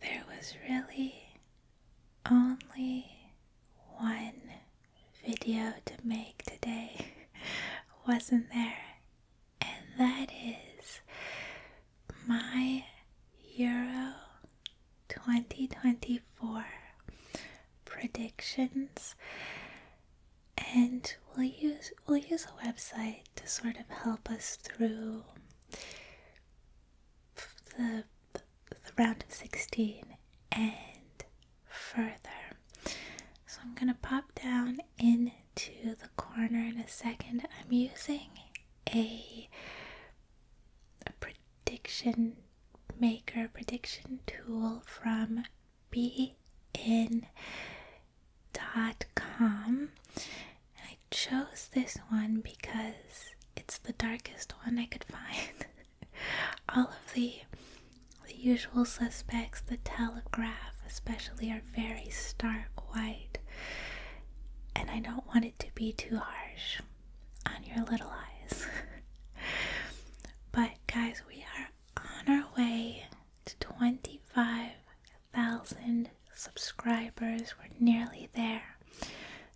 There was really only one video to make today, wasn't there? And that is my Euro 2024 predictions. And we'll use we'll use a website to sort of help us through the, round of 16 and further. So I'm going to pop down into the corner in a second. I'm using a, prediction maker, prediction tool from bein.com. I chose this one because it's the darkest one I could find. All of the the usual suspects, the telegraph especially, are very stark white. And I don't want it to be too harsh on your little eyes. but guys, we are on our way to 25 a thousand subscribers. We're nearly there.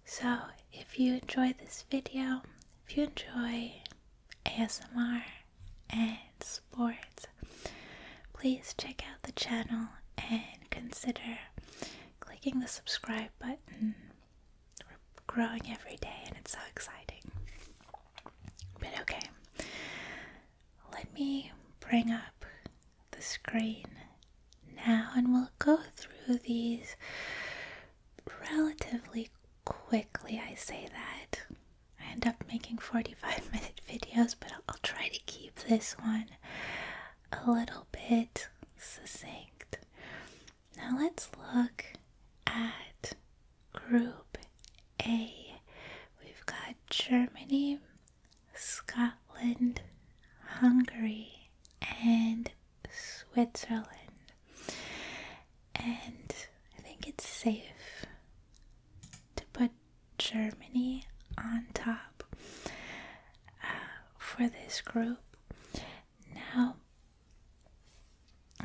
So, if you enjoy this video, if you enjoy ASMR and sports, please check out the channel and consider clicking the subscribe button. We're growing every day and it's so exciting. But okay, let me bring up the screen now, and we'll go through these relatively quickly. I say that. I end up making 45 minute videos, but I'll try to keep this one a little bit succinct. Now let's look at Group A. We've got Germany, Scotland, Hungary, and Switzerland. And I think it's safe to put Germany on top uh, for this group. Now,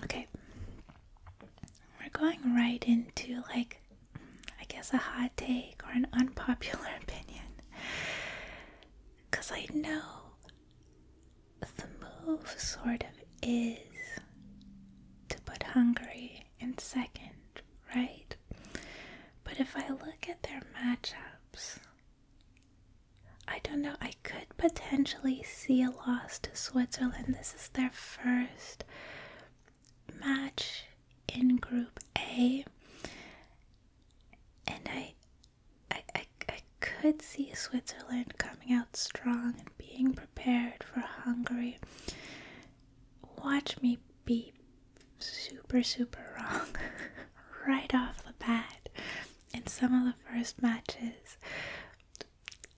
okay, we're going right into like I guess, a hot take or an unpopular opinion. Because I know the move sort of is to put Hungary in second, right? But if I look at their matchups, I don't know, I could potentially see a loss to Switzerland. This is their first match in Group A, and I, I, I, I could see Switzerland coming out strong and being prepared for Hungary. Watch me be super, super wrong right off the bat in some of the first matches.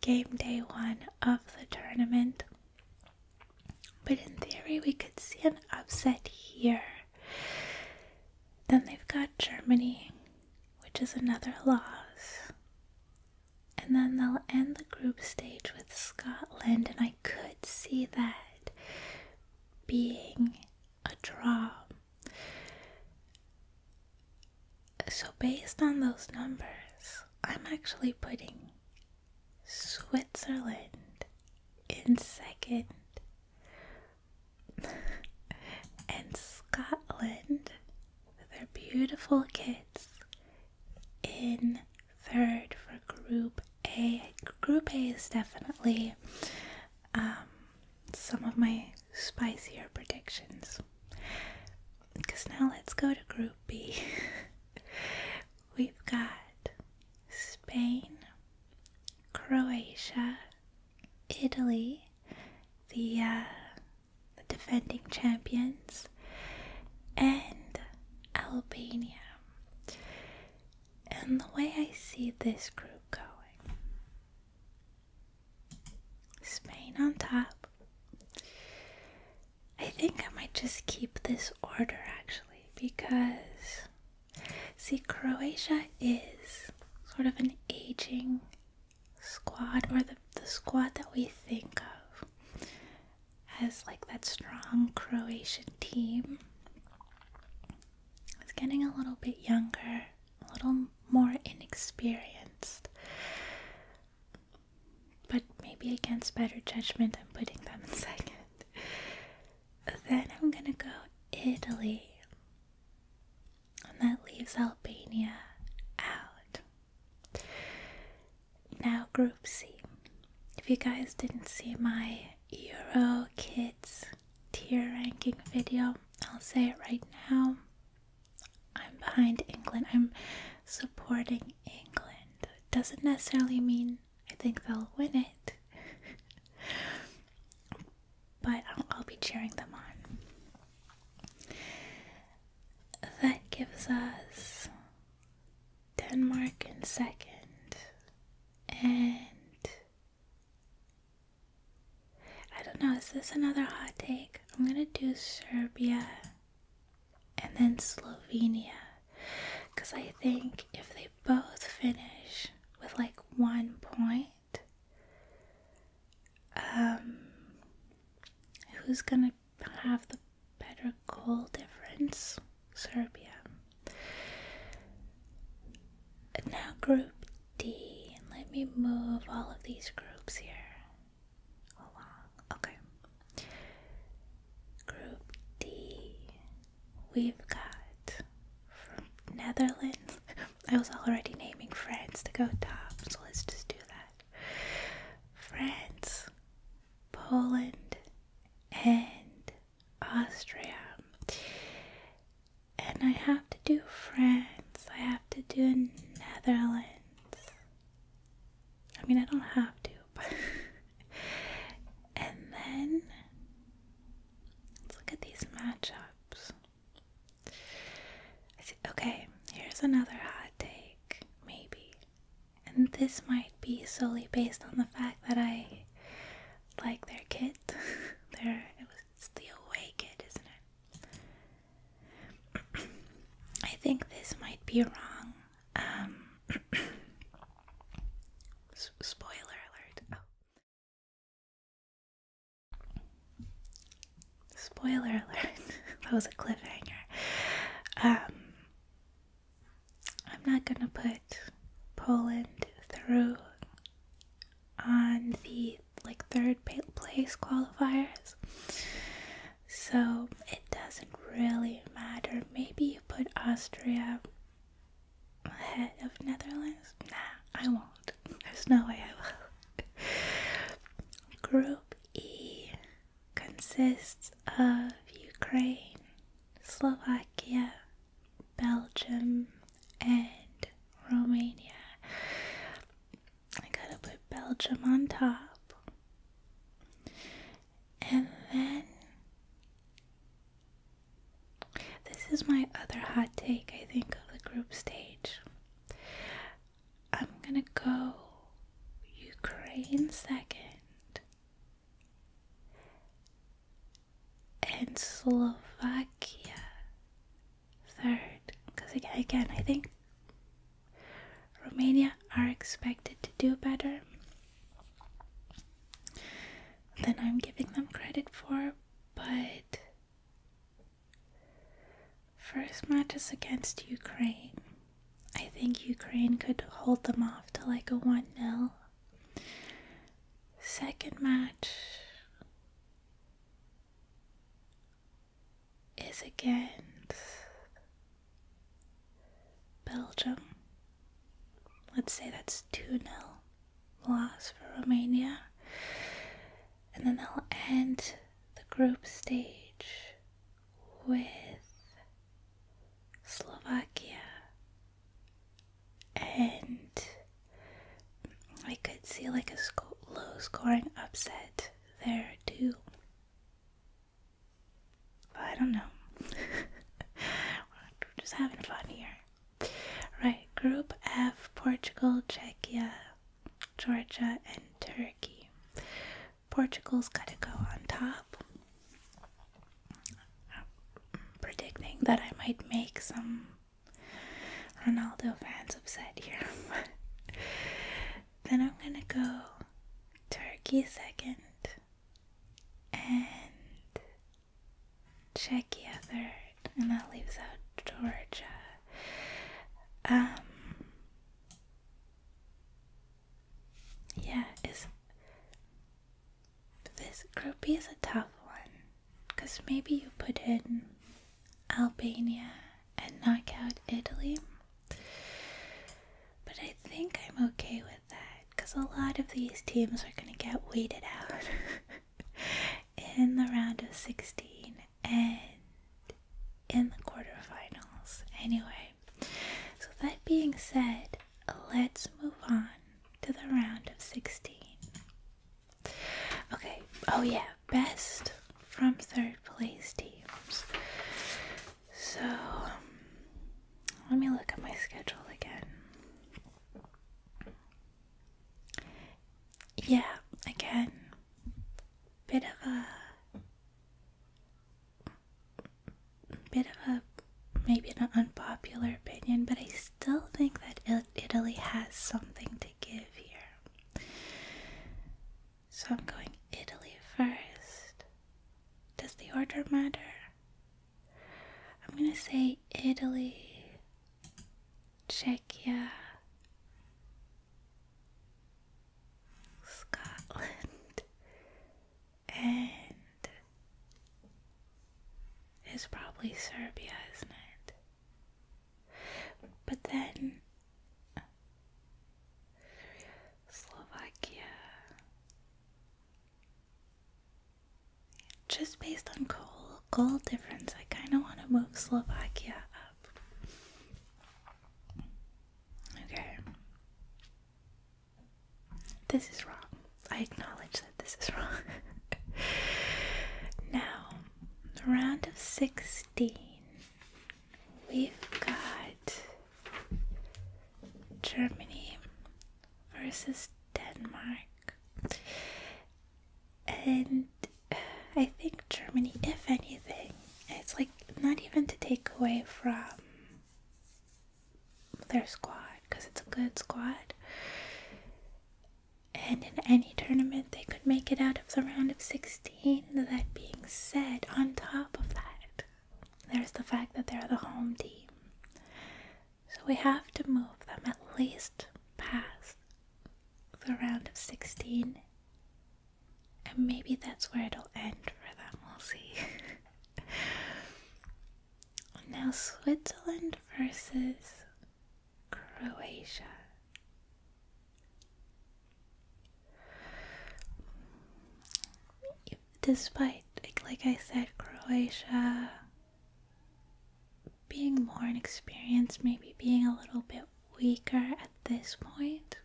Game day one of the tournament. But in theory, we could see an upset here. Then they've got Germany, which is another loss. And then they'll end the group stage with Scotland, and I could see that being a draw. So, based on those numbers, I'm actually putting Switzerland in second, and Scotland with their beautiful kids in third for Group A. Group A is definitely um, some of my spicier predictions. Because now let's go to Group B. we've got Spain, Croatia, Italy, uh, the, defending champions, and Albania. And the way I see this group going Spain on top. I think I might just keep this order actually because, see, Croatia is sort of an aging squad, or the, the squad that we think of as like that strong Croatian team. It's getting a little bit younger, a little more inexperienced. But maybe against better judgment, I'm putting them in second. Then I'm gonna go Italy. And that leaves Albania out. Now, Group C. If you guys didn't see my Euro Kids tier ranking video, I'll say it right now. I'm behind England. I'm supporting England. doesn't necessarily mean I think they'll win it. but I'll, be cheering them on. That gives us Denmark in second. And I don't know, is this another hot take? I'm gonna do Serbia and then Slovenia. Because I think if they both finish with like one point, um, who's gonna have the better goal difference? Serbia. And now, Group D. Let me move all of these groups here Okay. Group D, we've got from Netherlands. I was already naming France to go top, so let's just do that. France, Poland, and Austria. And I have to do France, I have to do Netherlands, I mean, I don't have to, but. and then. Let's look at these matchups. okay, here's another hot take, maybe. And this might be solely based on the fact that I like their kit. their it was the away kit, isn't it? I think this might be wrong. Um, spoiler alert. Oh. Spoiler alert. that was a cliffhanger. Um, I'm not gonna put Poland through on the like third place qualifiers. So it doesn't really matter. Maybe put Austria ahead of Netherlands? Nah, I won't. There's no way I will. Group E consists of Ukraine, Slovakia, Belgium, and Romania. I gotta put Belgium on top. And then this is my other hot take, I think, of the group stage. I'm gonna go Ukraine second and Slovakia third. Because again, again, I think Romania are expected to do better. Then I'm giving them credit for, but first match is against Ukraine. I think Ukraine could hold them off to like a 1 0. Second match is against Belgium let's say that's 2 0 loss for Romania. And then they'll end the group stage with Slovakia. And I could see like a low scoring upset there too. I don't know. just having fun here. Right, Group F Portugal, Czechia, Georgia, and Turkey. Portugal's got to go on top. predicting that I might make some Ronaldo fans upset here. then I'm gonna go Turkey second, and Czechia third, and that leaves out Georgia. Um, yeah, is this group is a tough one because maybe you put in Albania and knock out Italy. But I think I'm okay with that because a lot of these teams are going to get weeded out in the round of 16 and in the quarterfinals. Anyway, so that being said, let's move on to the round of 16. Okay, oh yeah, best from third place teams. So, um, let me look at my schedule again. Yeah, again, bit of a bit of a maybe an unpopular opinion, but I still think that Italy has something to give here. So I'm going Italy first. Does the order matter? I'm gonna say Italy, Czechia, Scotland, and it's probably Serbia, isn't it? But then. Slovakia. Just based on goal, goal difference, I kind of want to move Slovakia up. Okay. This is wrong. I acknowledge that this is wrong. now, round of 16 We've got Germany versus Denmark. And I think Germany, if anything, it's like not even to take away from their squad because it's a good squad. And in any tournament, they could make it out of the round of 16. That being said, on top of that, there's the fact that they're the home team. So we have to move them at least past the round of 16. And maybe that's where it'll end for them, we'll see. now, Switzerland versus Croatia. Despite, like, I said, Croatia being more inexperienced, maybe being a little bit weaker at this point,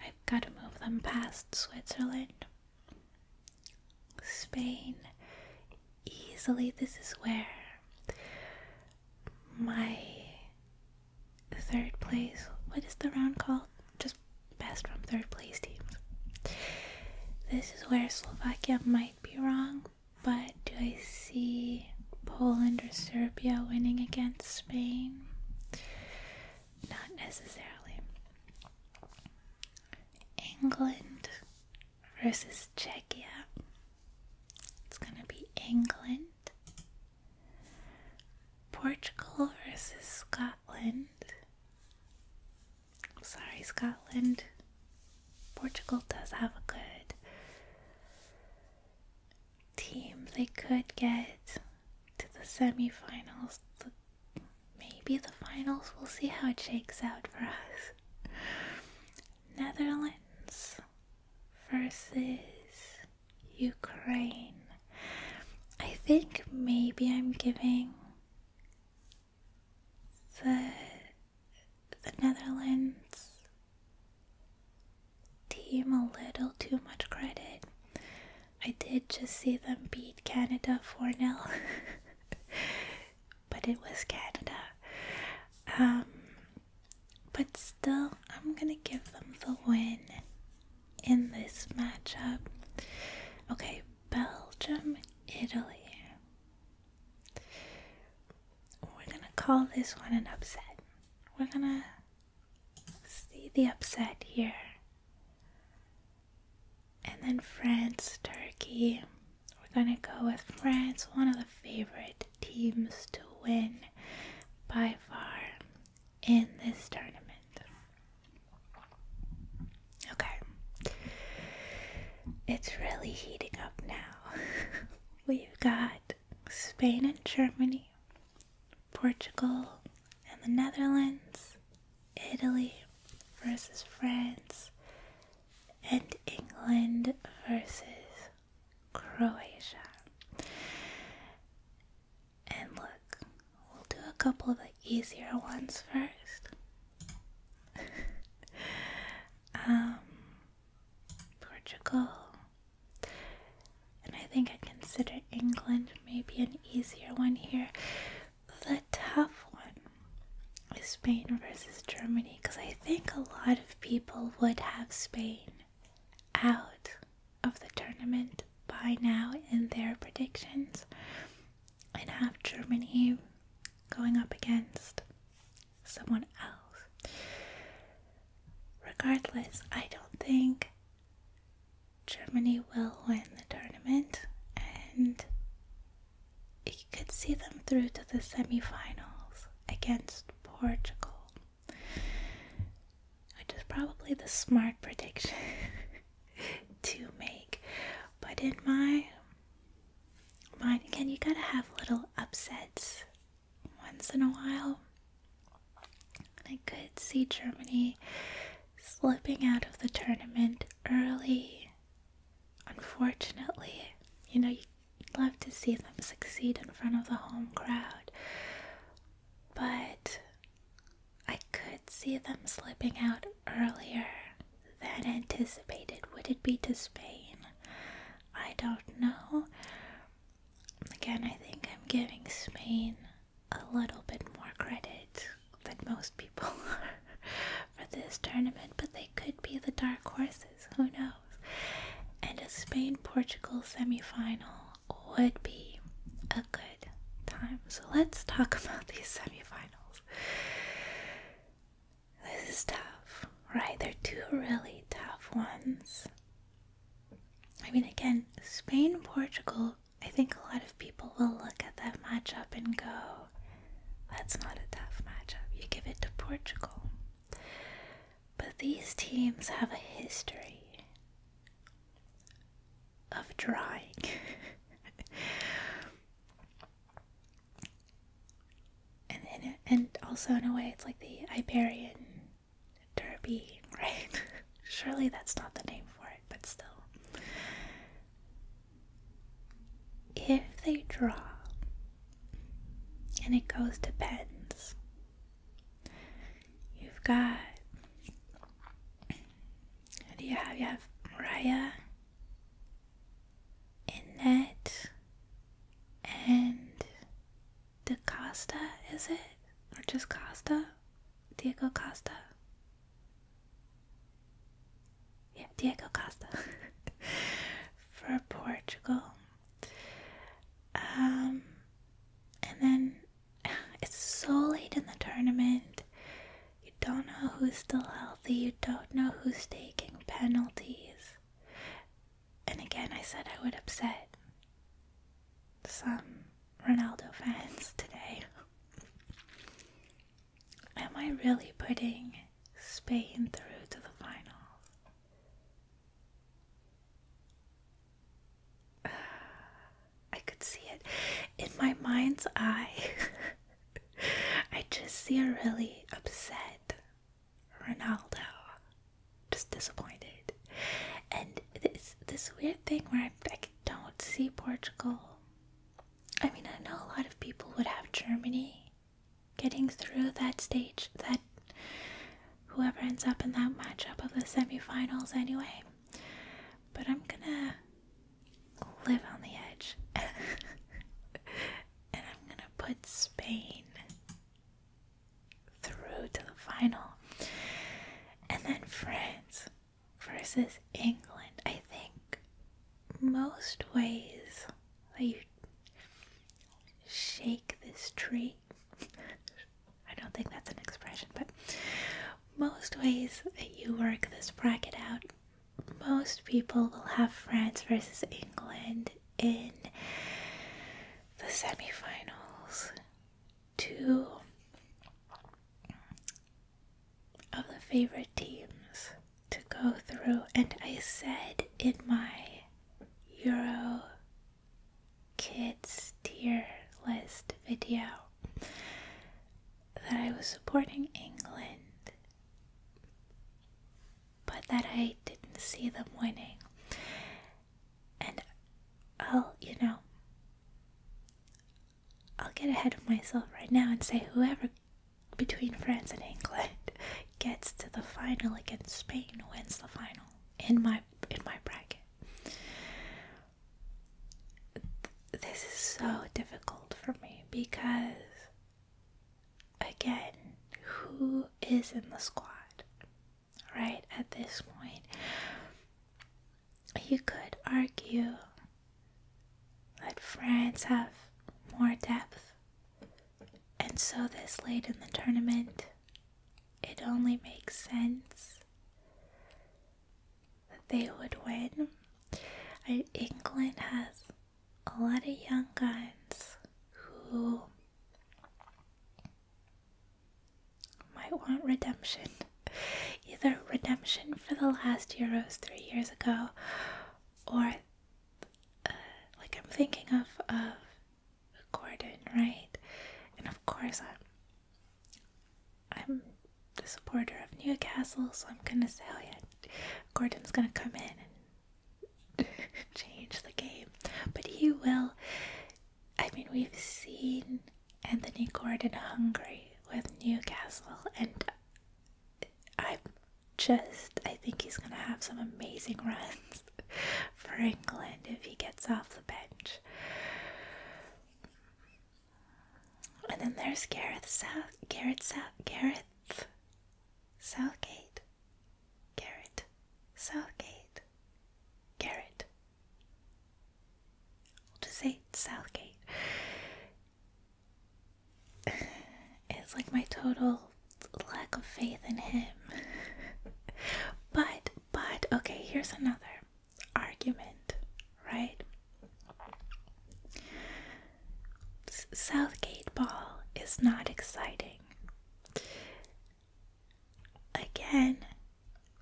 I've got to move them past Switzerland. Spain, easily, this is where my third place. What is the round called? Just best from third place teams. This is where Slovakia might be wrong, but do I see Poland or Serbia winning against Spain? Not necessarily. England versus Czechia. It's gonna be England. Portugal versus Scotland. sorry, Scotland. Portugal does have a good team. They could get to the semifinals, the, maybe the finals. We'll see how it shakes out for us. Netherlands versus Ukraine. I think maybe I'm giving the the Netherlands team a little too much credit. I did just see them beat Canada 4 nil, but it was Canada. Um, but still, I'm gonna give them the win in this matchup. Okay, Belgium, Italy. We're gonna call this one an upset. We're gonna see the upset here. And then France, Turkey. We're gonna go with France, one of the favorite teams to win by far in this tournament. Okay. It's really heating up now. We've got Spain and Germany, Portugal and the Netherlands, Italy versus France, and England versus Croatia. And look, we'll do a couple of the easier ones first. um, Portugal. And I think I consider England maybe an easier one here. The tough one is Spain versus Germany because I think a lot of people would have Spain out of the tournament by now in their predictions and have Germany going up against someone else. Regardless, I don't think Germany will win the tournament and you could see them through to the semi-finals against Portugal. Which is probably the smart prediction to make. But in my mind, again, you gotta have little upsets once in a while. I could see Germany slipping out of the tournament early. Unfortunately, you know, you would love to see them succeed in front of the home crowd but I could see them slipping out earlier than anticipated. Would it be to Spain? I don't know. Again, I think I'm giving Spain a little bit more credit than most people are for this tournament, but they could be the dark horses. Who knows? And a Spain Portugal semifinal would be a good time. So let's talk about these semifinals. This is tough, right? They're two really tough ones. I mean, again, Spain Portugal. I think a lot of people will look at that matchup and go, that's not a tough matchup. You give it to Portugal. But these teams have a history of drawing. and and also in a way it's like the Iberian Derby, right? Surely that's not the name for it, but still. If they draw and it goes to pens, You've got. Who do you have? You have Mariah, Annette, and DaCosta, is it? Or just Costa? Diego Costa? Yeah, Diego Costa. For Portugal. Um, and then it's so late in the tournament. You don't know who's still healthy. You don't know who's taking penalties. And again, I said I would upset some Ronaldo fans today. Am I really putting Spain through to the finals? I could see it in my mind's eye. I just see a really upset Ronaldo, just disappointed, and it's this weird thing where I don't see Portugal. I mean, I know a lot of people would have Germany getting through that stage, that whoever ends up in that matchup of the semifinals anyway. But I'm gonna live on the edge. and I'm gonna put Spain through to the final. And then France versus England. I think most ways that shake this tree I don't think that's an expression, but most ways that you work this bracket out, most people will have France versus England in the semifinals. Two of the favorite teams to go through, and I said in my Euro kids tear list video that I was supporting England, but that I didn't see them winning. And I'll, you know, I'll get ahead of myself right now and say whoever between France and England gets to the final against Spain wins the final in my in my bracket. This is so difficult for me because again, who is in the squad? Right at this point, you could argue that France have more depth, and so this late in the tournament, it only makes sense that they would win. I, England has a lot of young guns who might want redemption. Either redemption for the last Euros three years ago, or uh, like I'm thinking of, of Gordon, right? And of course, I'm, I'm the supporter of Newcastle, so I'm gonna say, oh yeah, Gordon's gonna come in and change the game. But he will. I mean, we've seen Anthony Gordon hungry with Newcastle, and I'm just, I think he's gonna have some amazing runs for England if he gets off the bench. And then there's Gareth South, Gareth South, Gareth Southgate, Gareth Southgate, Gareth. I'll just say Southgate. it's like my total lack of faith in him. but but okay, here's another argument, right? Southgate ball is not exciting. Again,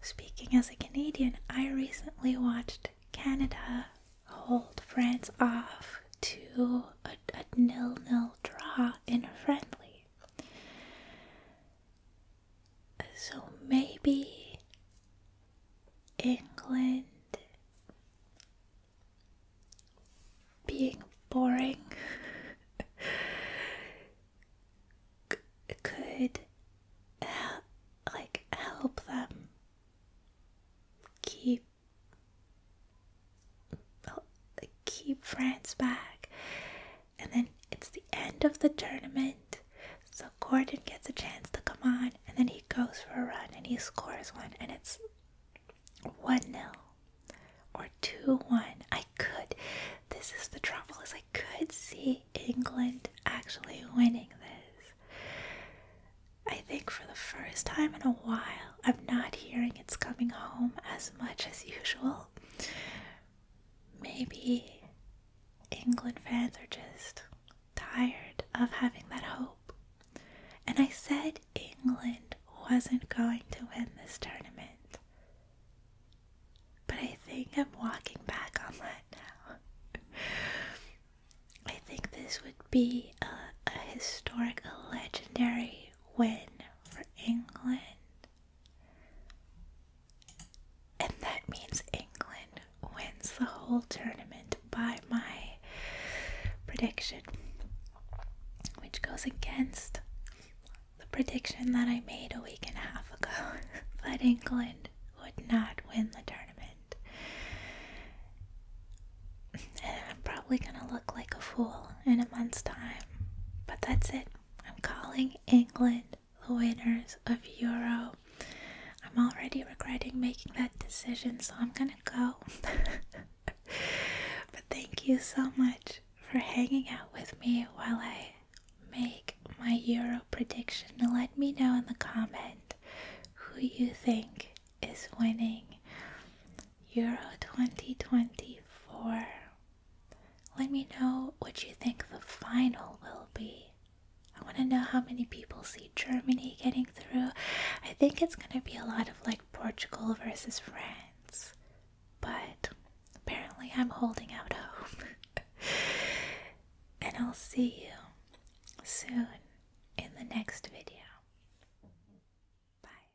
speaking as a Canadian, I recently watched Canada hold France off to a nil nil draw in a friendly. So maybe England being boring could help, like help them keep keep France back and then it's the end of the tournament. So Gordon gets a chance to come on, and then he goes for a run and he scores one, and it's 1 0 or 2 1. I could, this is the trouble, is I could see England actually winning this. I think for the first time in a while, I'm not hearing it's coming home as much as usual. Maybe England fans are just tired of having that hope. And I said England wasn't going to win this tournament. But I think I'm walking back on that now. I think this would be a, historic, a legendary win for England. And that means England wins the whole tournament by my prediction, which goes against the prediction that I made a week and a half ago that England would not win the tournament. And I'm probably gonna look like a fool in a month's time, but that's it. I'm calling England the winners of Euro. I'm already regretting making that decision, so I'm gonna go. but thank you so much for hanging out with me while I make my Euro prediction. let me know in the comment who you think is winning Euro 2024. Let me know what you think the final will be. I want to know how many people see Germany getting through. I think it's going to be a lot of like Portugal versus France, but apparently I'm holding out hope. and I'll see you soon in the next video. Bye.